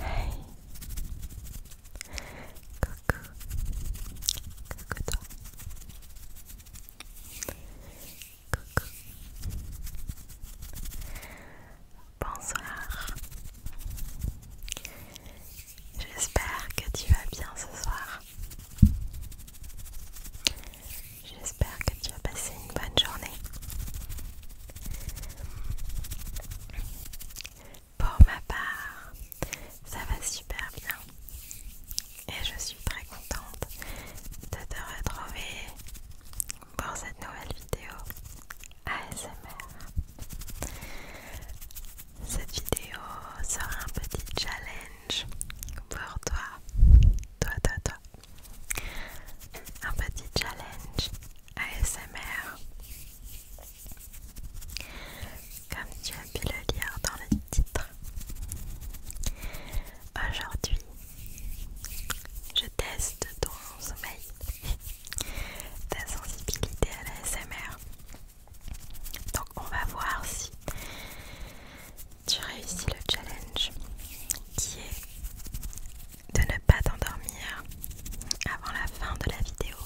Hey Coucou Coucou toi Coucou Bonsoir J'espère que tu vas bien ce soir J'espère que tu as passé une bonne journée. Pour ma part, ça va super bien et je suis très contente de te retrouver pour cette nouvelle vidéo ASMR. Cette vidéo sera un petit challenge pour toi. Toi, toi, toi. Un petit challenge ASMR. Comme tu as pu le lire dans le titre. Aujourd'hui, je teste ton sommeil, ta sensibilité à la donc on va voir si tu réussis le challenge qui est de ne pas t'endormir avant la fin de la vidéo.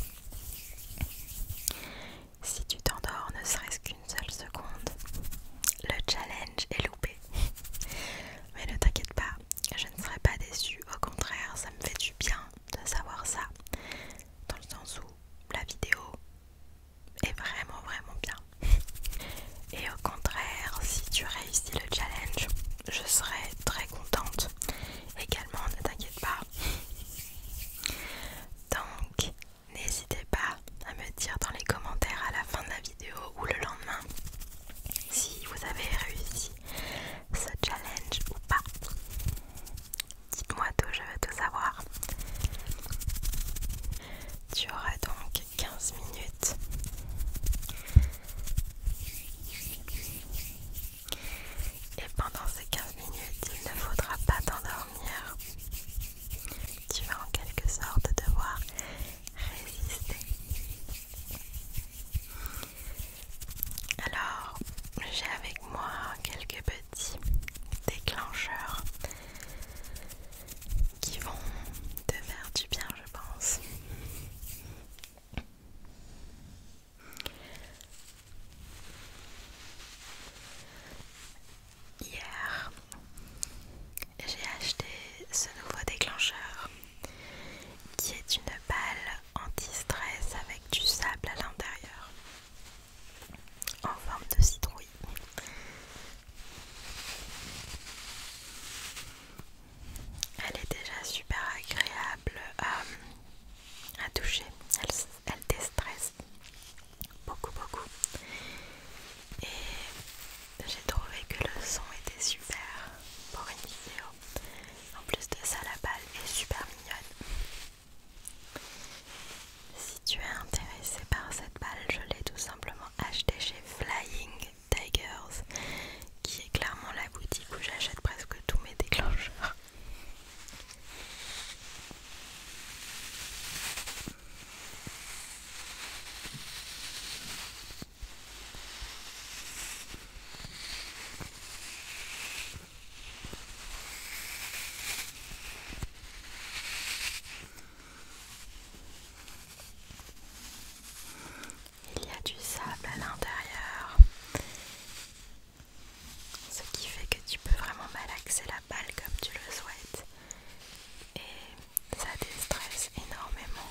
Si tu t'endors ne serait-ce qu'une seule seconde, le challenge est loupé. Mais ne t'inquiète pas, je ne serai pas déçue, au contraire, ça me fait du bien de savoir ça. Dans le sens où la vidéo est vraiment vraiment bien. Et au contraire, si tu réussis le challenge, je serai très contente. Également, ne t'inquiète pas. Donc, n'hésitez pas à me dire dans les commentaires à la fin de la vidéo ou le lendemain si vous avez réussi ce challenge ou pas. Dites-moi tout, je veux tout savoir. Tu auras donc 15 minutes et pendant ces 15 minutes, il ne faudra pas t'endormir. Tu vas en quelque sorte devoir résister. Alors, j'ai avec moi quelques petits des déclencheurs qui vont te faire du bien, je pense. Hier, j'ai acheté ce nouveau déclencheur qui est une balle anti-stress avec du sable à l'intérieur en forme de citrouille. Elle est déjà super agréable euh, à, toucher, elle, elle déstresse beaucoup beaucoup. Et j'ai trouvé que le son était super pour une vidéo. En plus de ça, la balle est super mignonne. Si tu es intéressé par cette balle, je l'ai tout simplement achetée chez Flying Tigers, qui est clairement la boutique où j'achète presque tous mes déclencheurs. Il y a du sable à l'intérieur, ce qui fait que tu peux vraiment malaxer la balle comme tu le souhaites et ça déstresse énormément.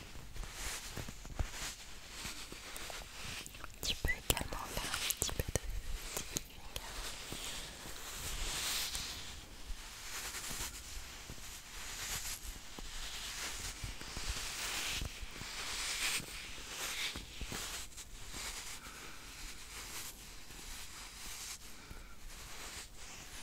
Tu peux également faire un petit peu de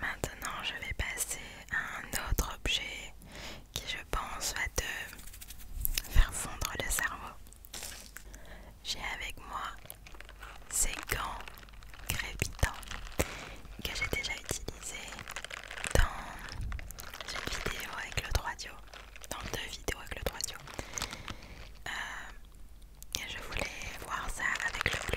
Maintenant, je vais passer à un autre objet qui je pense va te faire fondre le cerveau. J'ai avec moi ces gants crépitants que j'ai déjà utilisés dans une vidéo avec le droit dans deux vidéos avec le droit dio. Euh, et je voulais voir ça avec le Blue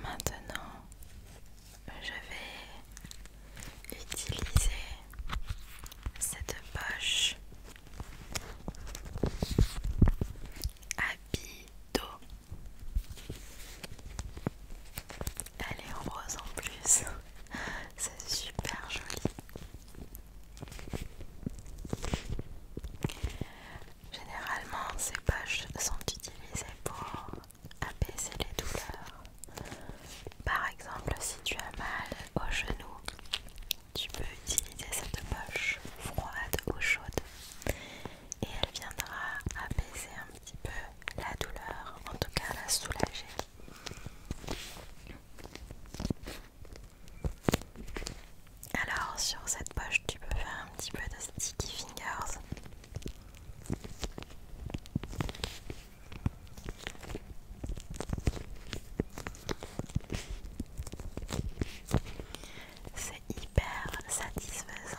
Maintenant, je vais utiliser cette poche à elle est rose en plus, c'est super joli. Généralement, ces poches sont utilisées pour apaiser les douleurs. Par exemple, si tu as mal au genou, tu peux utiliser cette poche froide ou chaude et elle viendra apaiser un petit peu la douleur, en tout cas la soulager. Alors sur cette poche tu peux faire un petit peu de sticky fingers c'est hyper satisfaisant.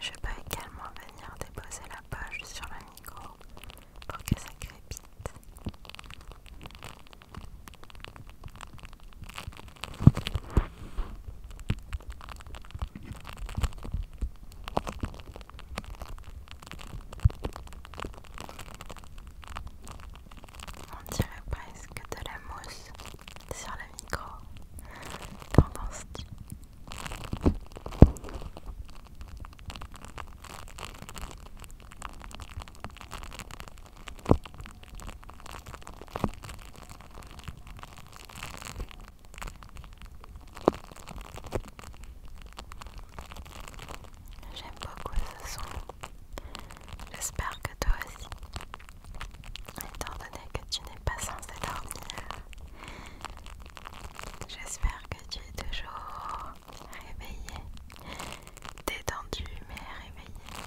Je peux également venir déposer la page sur la micro pour que ça crépite. On dirait presque de la mousse sur la micro. J'aime beaucoup ce son. J'espère que toi aussi étant donné que tu n'es pas censé dormir, j'espère que tu es toujours réveillé, détendu mais réveillé.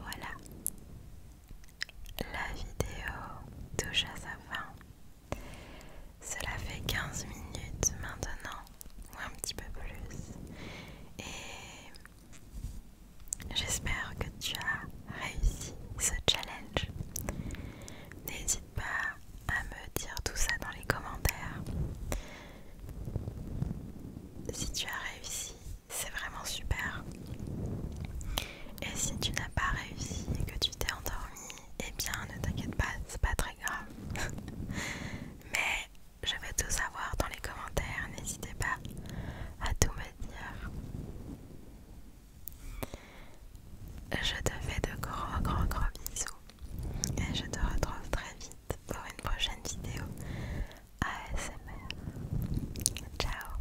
Voilà, la vidéo touche à sa fin. Cela fait 15 minutes maintenant, ou un petit peu plus, et j'espère que tu as réussi ce challenge. N'hésite pas à me dire tout ça dans les commentaires. Si tu as réussi, c'est vraiment super. Et si tu n'as pas réussi et que tu t'es endormi, eh bien ne t'inquiète pas, c'est pas très Mais je veux tout savoir dans les commentaires, n'hésitez pas à tout me dire. Je te fais de gros gros gros bisous et je te retrouve très vite pour une prochaine vidéo ASMR. Ciao